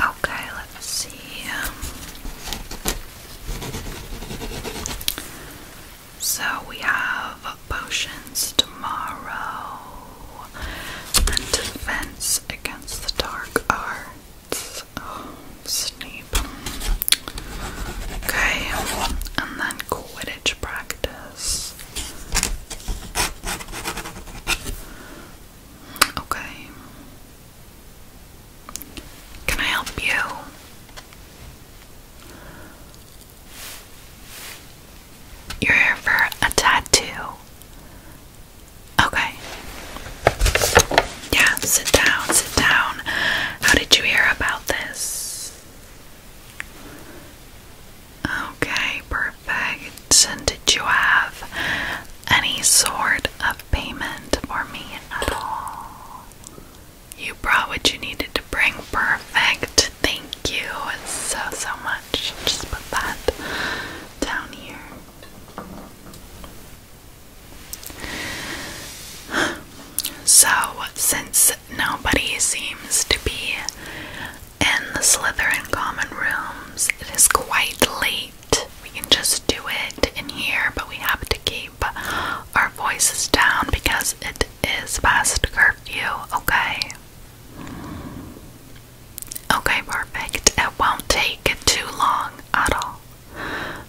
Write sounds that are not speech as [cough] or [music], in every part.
Okay, let's see. So we have potions tomorrow and defense against the dark arts. Oh, Snape. Okay, and then Quidditch practice. Okay. Can I help you? You're here for a tattoo. Okay. Yeah, sit down, sit down. How did you hear about this? Okay, perfect. And did you have any sort of payment for me at all. You brought what you needed to bring. Perfect. Thank you so, so much. Just put that down here. So, since nobody seems to be in the Slytherin common rooms, it is quite late we can just do it in here, but we have to keep our voices down because it is past curfew, okay? Okay, perfect. It won't take too long at all.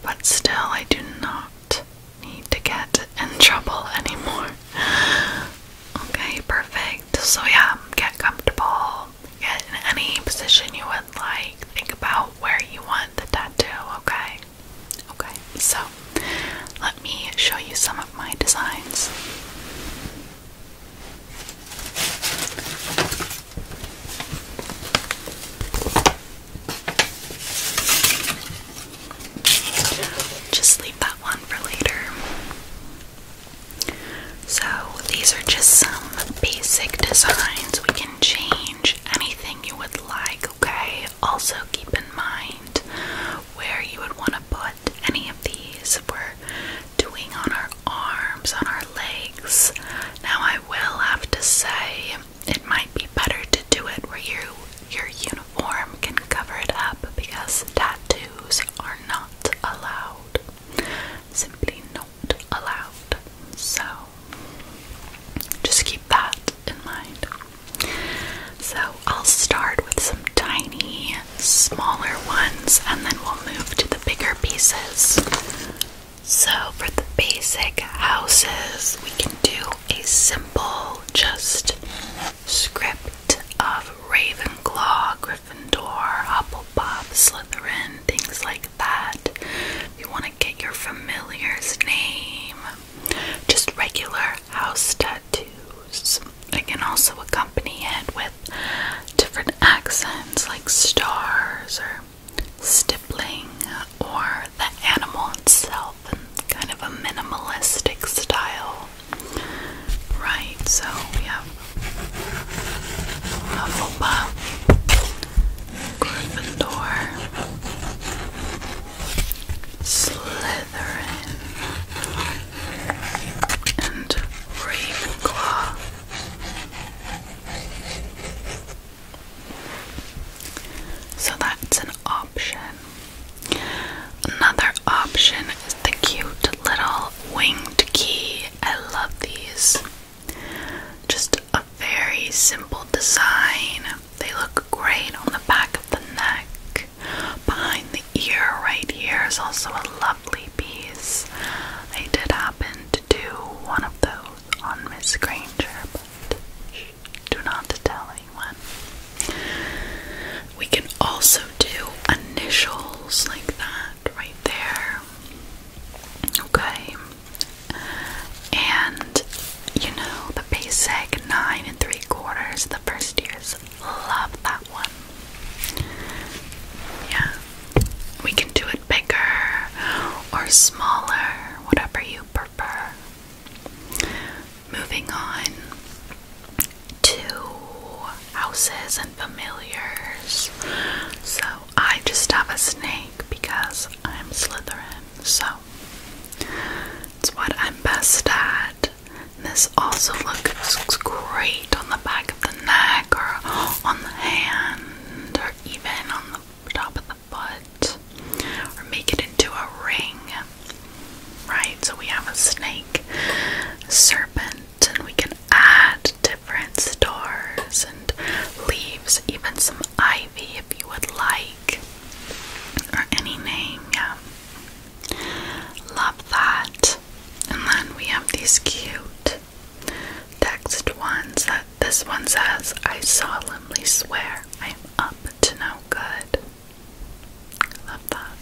But still, I do not need to get in trouble anymore. [laughs] Okay, perfect. So, yeah, get comfortable get in any position you would like. Think about where you want the tattoo, okay? Okay, so let me show you some of my designs. Just leave that one for later. So these are just some basic designs. We can change anything you would like, okay? Also keep in mind where you would want to put any of these. We're doing on our arms, on our legs. Now I will have to say it might be better to do it where you your uniform can cover it up because tattoos are not allowed. Simply no allowed. So just keep that in mind. So I'll start with some tiny, smaller ones and then we'll move to the bigger pieces. So for the basic houses, we can do a simple just script of Ravenclaw, Gryffindor, Hufflepuff. Bob Slytherin, things like that. You want to get your familiar's name. Just regular house tattoos. I can also accompany it with different accents like stars or stippling or the animal itself in kind of a minimalistic style. Right, so we have Hufflepuff, Gryffindor, Slytherin, and Ravenclaw. So that's an option. Another option is the cute little winged key. I love these. Just a very simple design. They look great on the back of the neck. Behind the ear, right here, is also a lovely piece. I did happen to do one of those on Miss Granger, but do not tell anyone. We can also do initials like that right there. Okay, and you know, the basic nine and three quarters, the first years love that one. Yeah, we can do it bigger or smaller, whatever you prefer. Moving on to houses and familiars. So, I just have a snake because I'm Slytherin, so it's what I'm best at. This also looks great on the back of the neck or on the hand or even on the top of the foot or make it into a ring. Right, so we have a snake, serpent, and we can add different stars and leaves, even some ivy if you would like, or any name, Love that. And then we have these cute text ones that this one says, I solemnly swear I'm up to no good. Love that.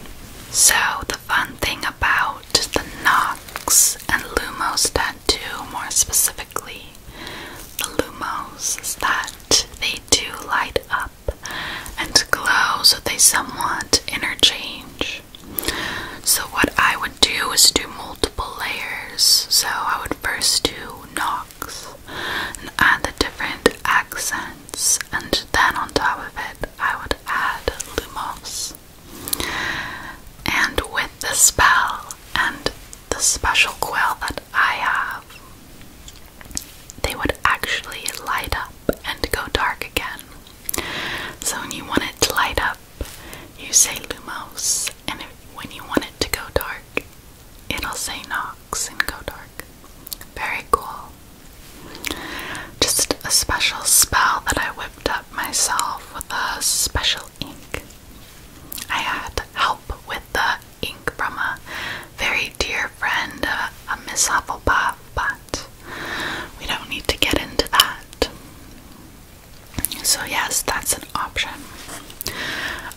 So, the fun thing about the Knox and Lumos tattoo, more specific the lumos is that they do light up and glow so they somewhat interchange. So what I would do is do multiple layers. So I would first do nox and add the different accents and then on top of it I would add lumos. And with the spell and the special quill that I have, they would actually light up and go dark again. So when you want it to light up, you say Lumos, and when you want it to go dark, it'll say Nox and go dark. Very cool. Just a special spell that I whipped up myself with a special ink. I had help with the ink from a very dear friend, uh, a Miss Hufflepuff, but we don't need to get into that. So, yes, that's an option.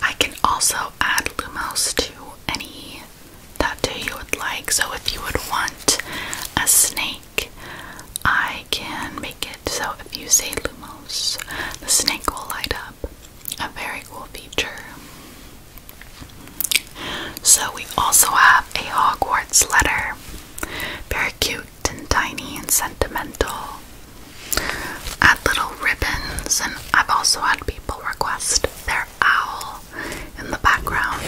I can also add mouse to any tattoo you would like. So, if you would want a snake, I can make it. So if you say Lumos, the snake will light up. A very cool feature. So we also have a Hogwarts letter. Very cute and tiny and sentimental. Add little ribbons, and I've also had people request their owl in the background,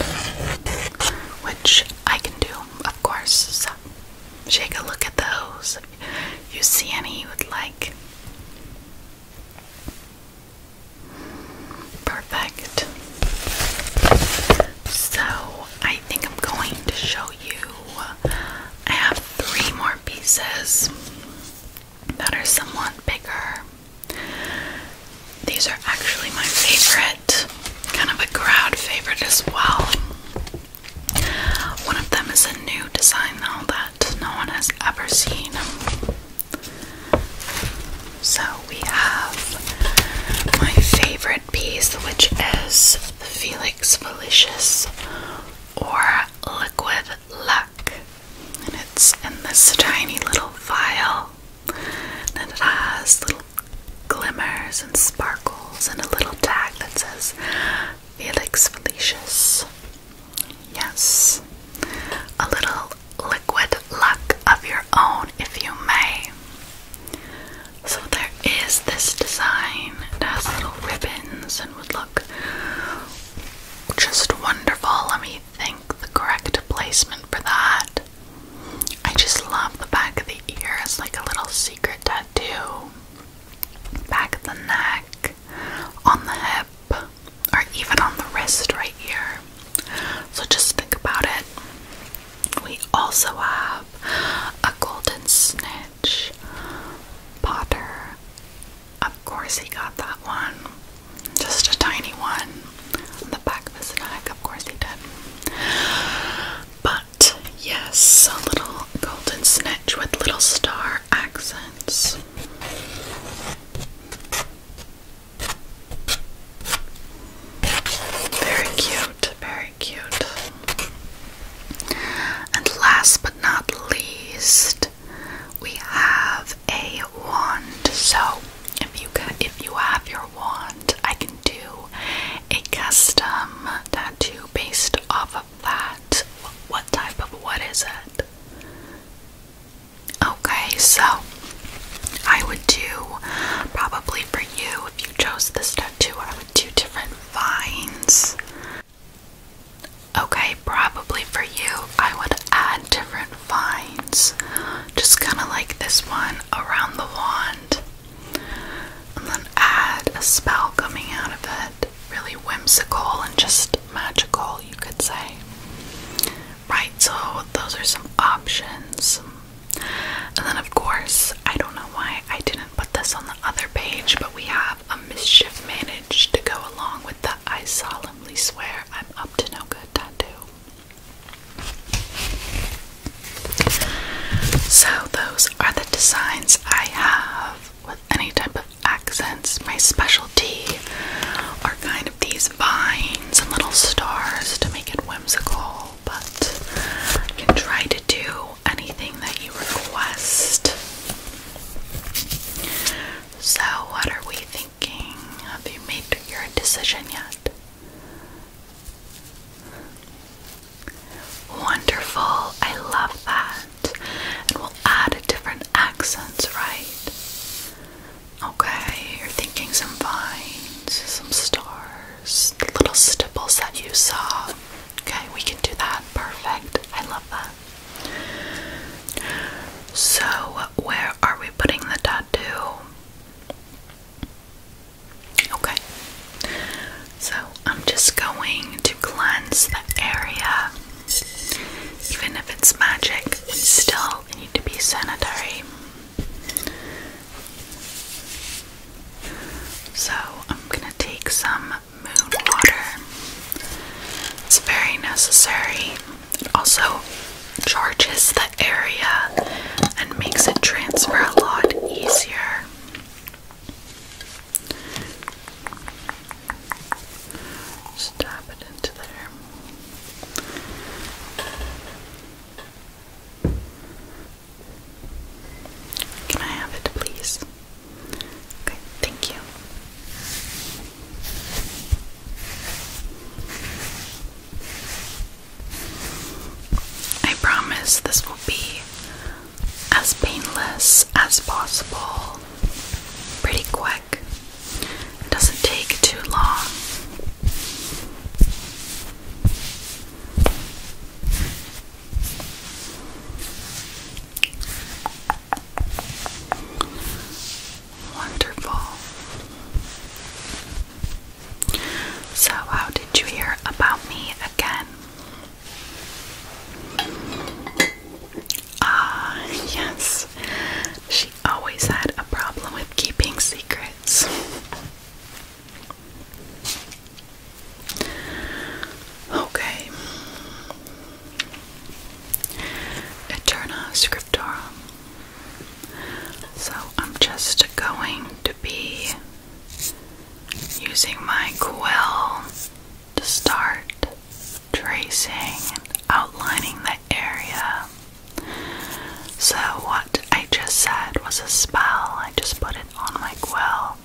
which I can do, of course. Take a look at those. You see any you would like? Perfect. So I think I'm going to show you. I have three more pieces that are somewhat bigger. These are actually my favorite, kind of a crowd favorite as well. One of them is a new design though that no one has ever seen. So we have my favorite piece, which is the Felix Felicious or Liquid Luck. And it's in this tiny little vial. And it has little glimmers and sparkles and a little tag that says Felix Felicius. Yes. A little liquid luck of your own, if you may. So there is this design. It has little ribbons and would look just wonderful. Let me think the correct placement for that. I just love the back of the ear. It's like a little secret tattoo back of the neck, on the hip, or even on the wrist right here. So just think about it. We also have a golden snitch, Potter. Of course, he got that one. Just a tiny one on the back of his neck. Of course, he did. But Yes, a little golden snitch with little star accents. Very cute, very cute. And last but not least, we have a wand. So, if you if you have your wand, I can do a custom tattoo based off of that? What type of what is it? Okay, so I would do probably for you if you chose this tattoo, I would do different vines. Okay, probably for you, I would add different vines, just kind of like this one around the wand and then add a spell coming out of it. Really whimsical and just magical, you could say. Right, so those are some options. And then, of course, I don't know why I didn't put this on the other page, but we have a mischief managed to go along with the I solemnly swear I'm up to no good tattoo. So, those are the designs I have with any type of accents. My specialty are kind of these vines and little stars to make it whimsical, but I can try to do anything that you request. So, what are we thinking? Have you made your decision yet? Wonderful, I love that. And we'll add a different accents, right? Okay, you're thinking some vines, some stars, the little stipples that you saw. Okay, we can do that. Perfect. I love that. So, where are we putting the tattoo? Okay, so I'm just going to cleanse the area. Even if it's magic, we still need to be sanitary. So I'm gonna take some moon water. It's very necessary. also charges the area and makes it transfer a lot easier. Just tap it into there. Can I have it, please? Okay, thank you. I promise this will be as painless as possible, pretty quick. doesn't take too long. Wonderful. So, how did you hear about me again? Ah, yes. She always had a problem with keeping secrets. Okay. Eterna Scriptorum. So I'm just going to be using my quill to start tracing and outlining the area. So, what I just said was a spell, I just put it on my quill.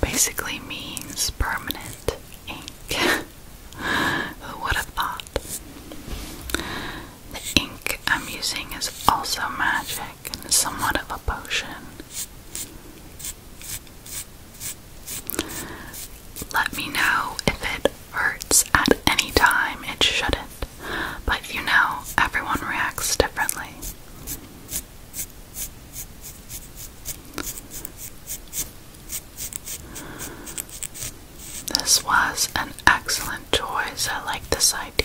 Basically, means permanent ink. [laughs] Who would have thought? The ink I'm using is also magic and is somewhat of a potion. Let me know if it hurts at any time. It shouldn't. But you know, everyone reacts differently. This was an excellent choice. I like this idea.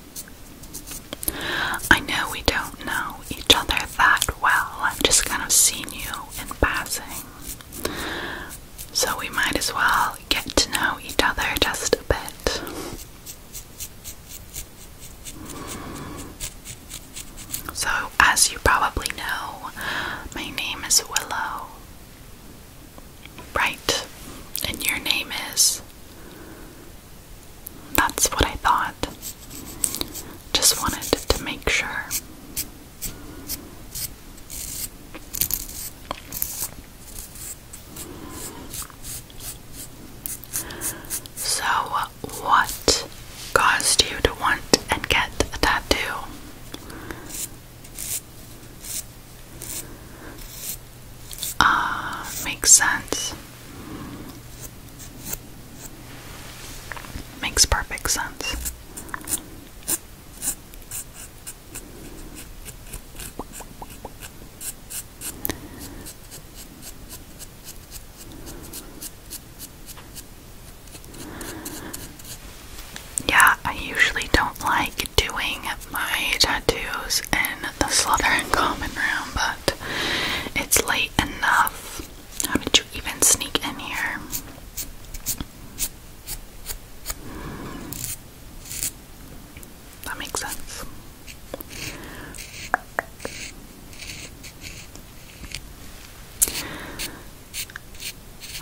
I know we don't know each other that well. I've just kind of seen you in passing. So we might as well get to know each other just a bit. So, as you probably know, my name is Willow. Right. And your name is that's what I thought. Just wanted to make sure. So, what caused you to want and get a tattoo? uh, makes sense. Makes perfect sense. Yeah, I usually don't like doing my tattoos in the Slytherin common room, but it's late enough. How did you even sneak in here? That makes sense.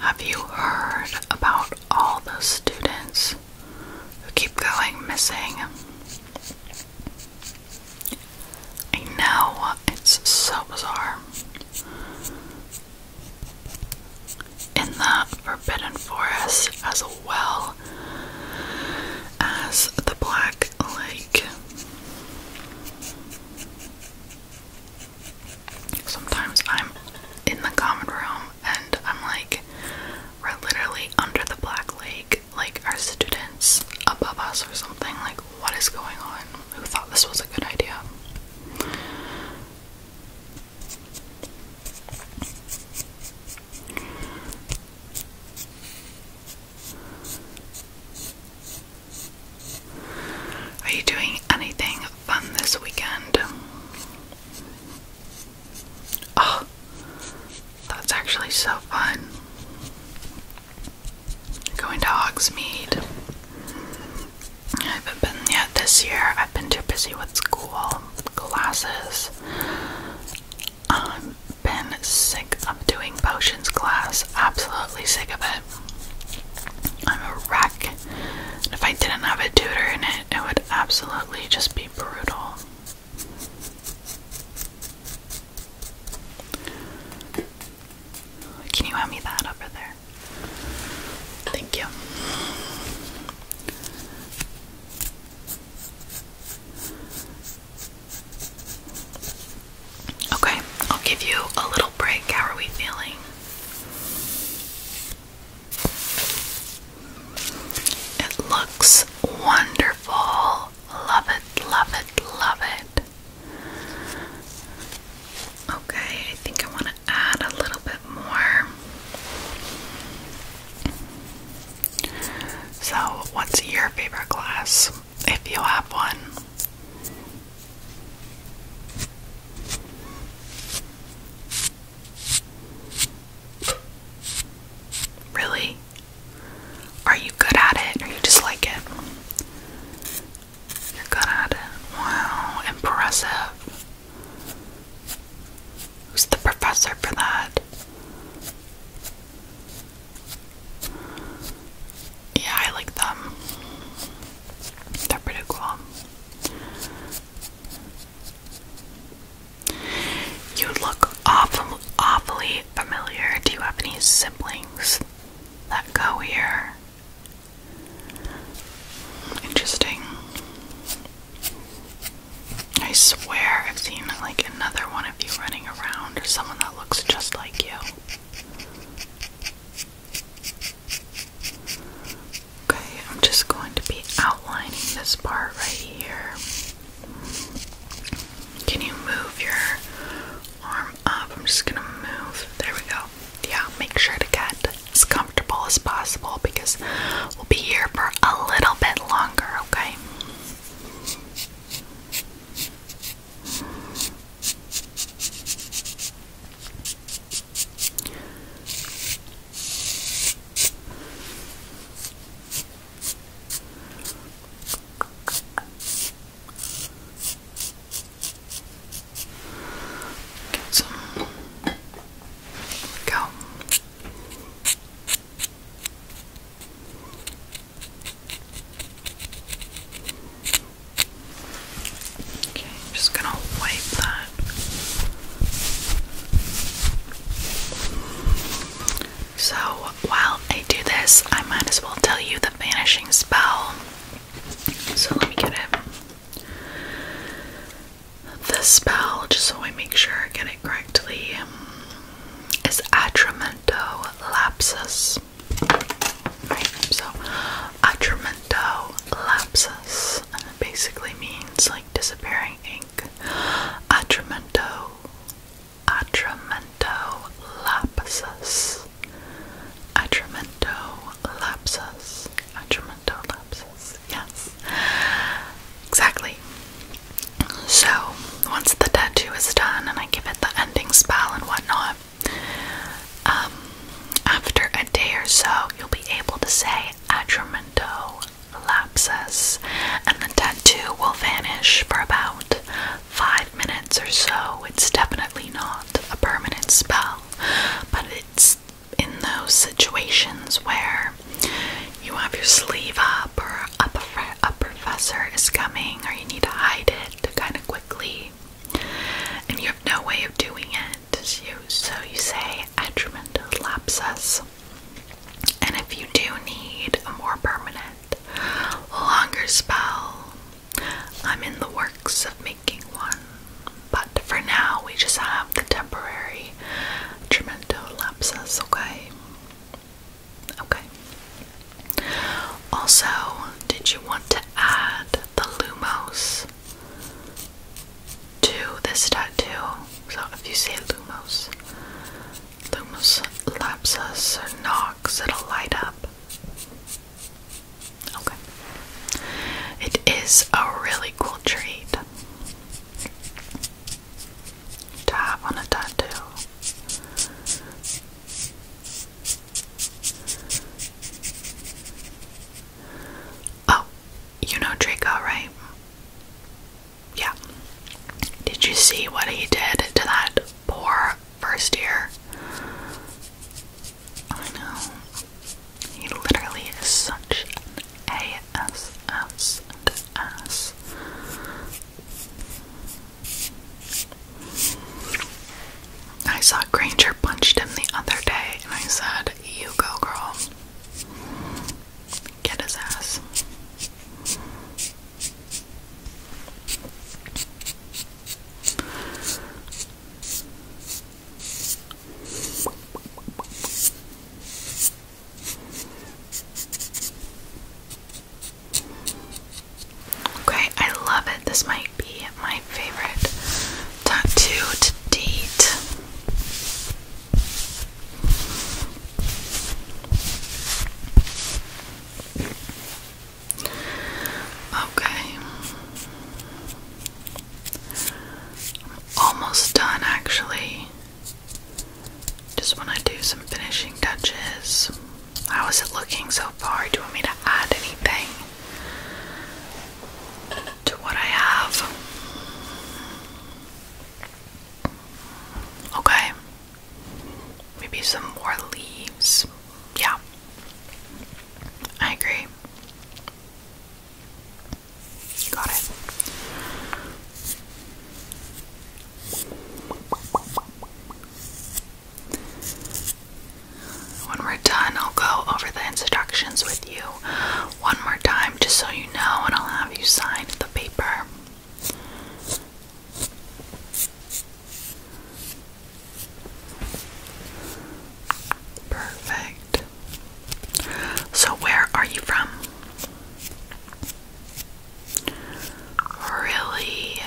Have you heard about all the students ones who keep going missing. I know, it's so bizarre. In the Forbidden Forest, as well as the Black Lake. Sometimes I'm in the common room and I'm like, we're literally under the Black Lake, like our students above us or something. Like, what is going on? Who thought this was a good idea? Are you doing anything fun this weekend? Oh, that's actually so fun. Going to Hogsmeade. I haven't been yet this year. I've been too busy with school, classes. I've been sick of doing potions class. Absolutely sick of it. I'm a wreck. if I didn't have a tutor in it, it would absolutely just be brutal. Can you hand me that over there? Thank you. Okay, I'll give you a little break. How are we feeling? It looks wonderful. Love it, love it, love it. Okay, I think I want to add a little bit more. So, what's your favorite glass if you have one? Really? Are you good at it or you just like it? You're good at it. Wow, impressive. Who's the professor for that? Yeah, I like them. They're pretty cool. You look awfully familiar. Do you have any siblings that go here? Interesting. I swear I've seen like another one of you running around or someone that looks just like you. Okay, I'm just going to be outlining this part right here. Can you move your arm up? I'm just gonna move. There we go. Yeah, make sure to get as comfortable as possible because we'll be here for a little bit longer, okay? Get Go. Okay, I'm just gonna wipe that. So while I do this, I might as well tell you the vanishing spell. So let me get it. The spell, just so I make sure I get it correctly, is Atramento Lapsus. Right, so Atramento Lapsus basically means like disappearing ink. Atramento, Atramento lapsus, Atramento lapsus, Atramento lapsus, yes, exactly. So, once the tattoo is done and I give it the ending spell and whatnot, um, after a day or so, you'll be able to say Atramento lapses and the tattoo will vanish for about five minutes or so. It's definitely not a permanent spell, but it's in those situations where you have your sleeve up or a, prof is coming or you need to hide it kind of quickly and you have no way of doing it. So you say atrimental lapsus and if you do need a more permanent, longer spell, I'm in the works of making one. But for now, we just have the temporary tremendo lapsus. okay? Okay. Also, did you want to add the Lumos? to this tattoo. So if you say Lumos, Lumos Lapsus or Nox, it'll light up. Okay. It is a really cool treat to have on a tattoo. Oh, you know Draco, right? yeah. Did you see what he did to that poor first year? I know. He literally is such an ASS ass. I saw Granger punched him the other day and I said, You go, girl. Get his ass. Okay, I love it. This might be my favorite tattoo to date. Okay. I'm almost done actually. Just want to do some finishing touches. How is it looking so far? Do you want me to add anything to what I have? Okay. Maybe some more leaves. Yeah. I agree. Got it. When we're done, I'll go over the instructions with you one more time just so you know, and I'll have you sign the paper. Perfect. So, where are you from? Really?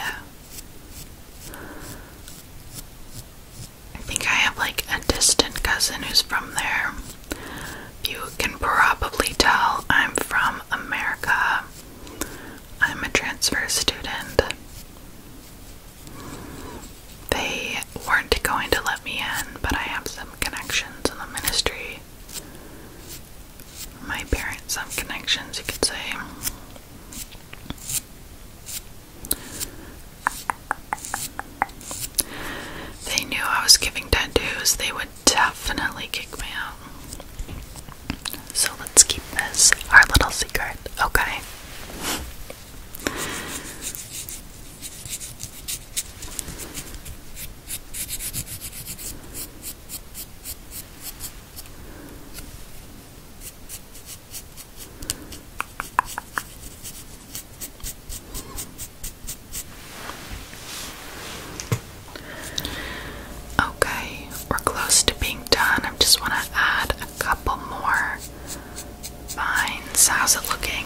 I think I have like a distant cousin who's from there. You can probably tell I'm from America. I'm a transfer student. They weren't going to let me in, but I have some connections in the ministry. My parents have connections, you could say. They knew I was giving tattoos, they would definitely kick me out. So let's keep this our little secret, okay? Okay, we're close to being done. I just want to add a couple more lines. How's it looking?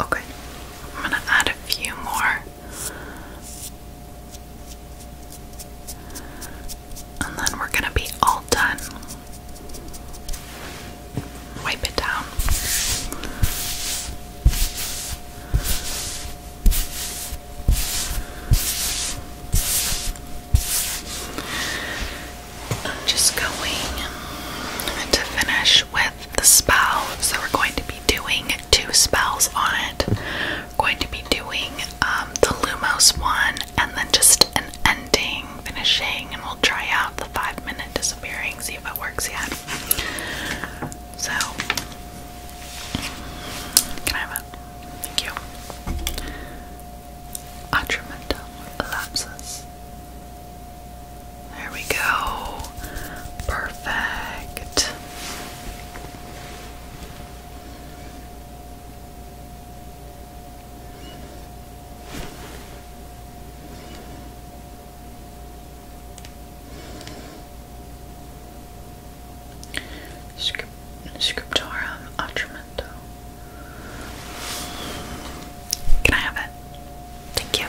Okay, I'm going to add a few more. And then we're going to be all done wipe it down. I'm just going to finish with the spell. So we're going to be doing two spells on it. We're going to be doing um, the Lumos one and then just an ending finishing, and we'll try out the five minute disappearing, see if it works yet. So, can I have it? Thank you. Atramentum elapses. There we go. Perfect. Script scriptorum Otramento. Can I have it? Thank you.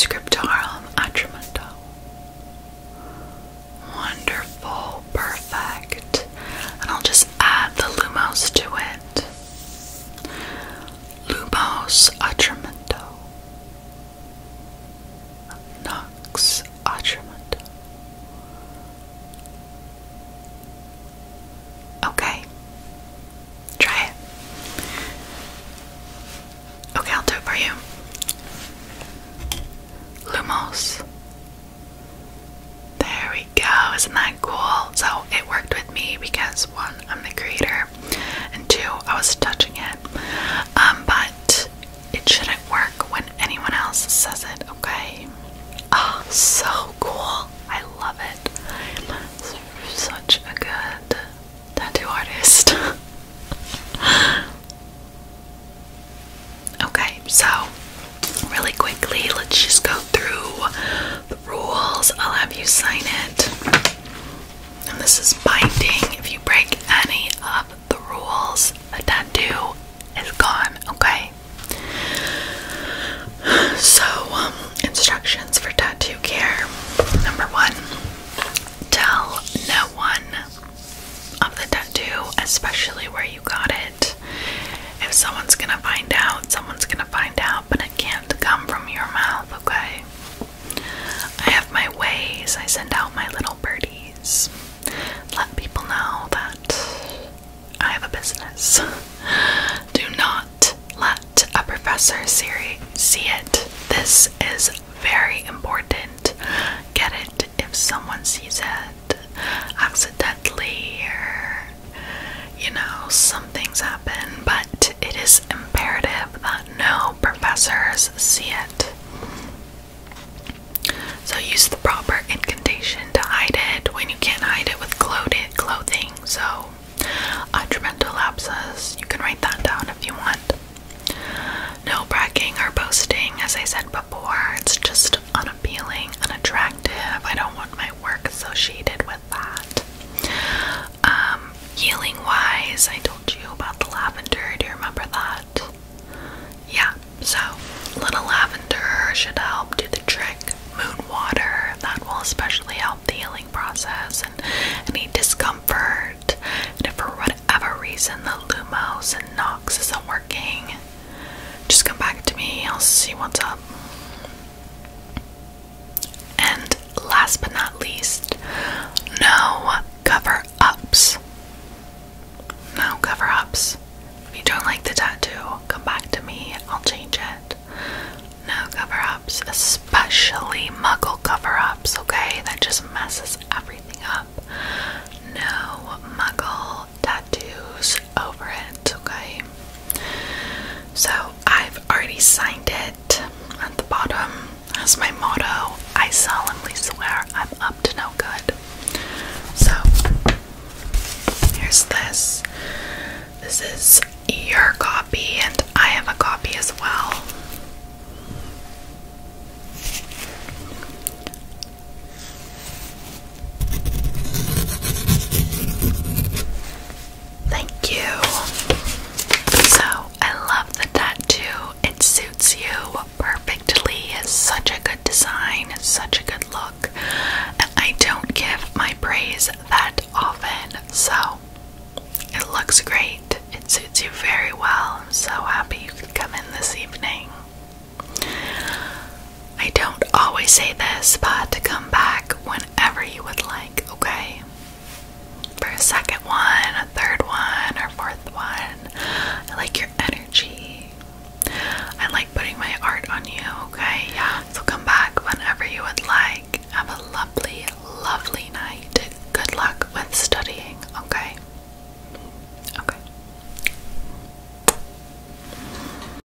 Scriptorum Atramento. Wonderful, perfect. And I'll just add the lumos to it. Lumos Atramento Nox Atramento Okay. Try it. Okay, I'll do it for you. Lumos there we go, isn't that cool? So it worked with me because one, I'm the creator, and two, I was touching it. Um, but it shouldn't work when anyone else says it, okay? Oh, so cool. I love it. such a good tattoo artist. [laughs] okay, so really quickly, let's just go through the rules. I'll have you sign it. And this is binding. If you break any of the rules, the tattoo is gone, okay? So, um, instructions for tattoo care. Number one, tell no one of the tattoo, especially where you you got it. If someone's gonna find out, someone's gonna find out, but it can't come from your mouth, okay? I have my ways, I send out my little birdies. Let people know that I have a business. [laughs] Do not let a professor see it. This is very important. Get it if someone sees it accidentally or you know, some things happen, but it is imperative that no professors see it. So use the proper incantation to hide it when you can't hide it with clothed clothing. So, detrimental lapses, you can write that down if you want. No bragging or boasting, as I said before, it's just unappealing, unattractive. I don't want my work associated with that. Um, healing wise, I told you about the lavender. Do you remember that? Yeah, so little lavender should help do the trick. Moon water, that will especially help the healing process and any discomfort. And if for whatever reason the Lumos and Nox isn't working, just come back to me. I'll see what's up. And last but not least, no cover ups. No cover ups. If you don't like the tattoo, come back to me, I'll change it. No cover ups, especially muggle cover ups, okay? That just messes everything up. No muggle tattoos over it, okay? So I've already signed it at the bottom as my motto. I solemnly swear I'm up to no good. So here's this. This is your copy, and I have a copy as well. Thank you. So, I love the tattoo. It suits you perfectly. It's such a good design, it's such a good look. I don't give my praise that often, so it looks great. It suits you very well. so happy you have come in this evening. I don't always say this, but to come back whenever you would like, okay? For a second one, a third one, or fourth one. I like your energy. I like putting my art on you, okay? Yeah. So come back whenever you would like. Have a lovely, lovely night. Good luck with studying, okay? Okay.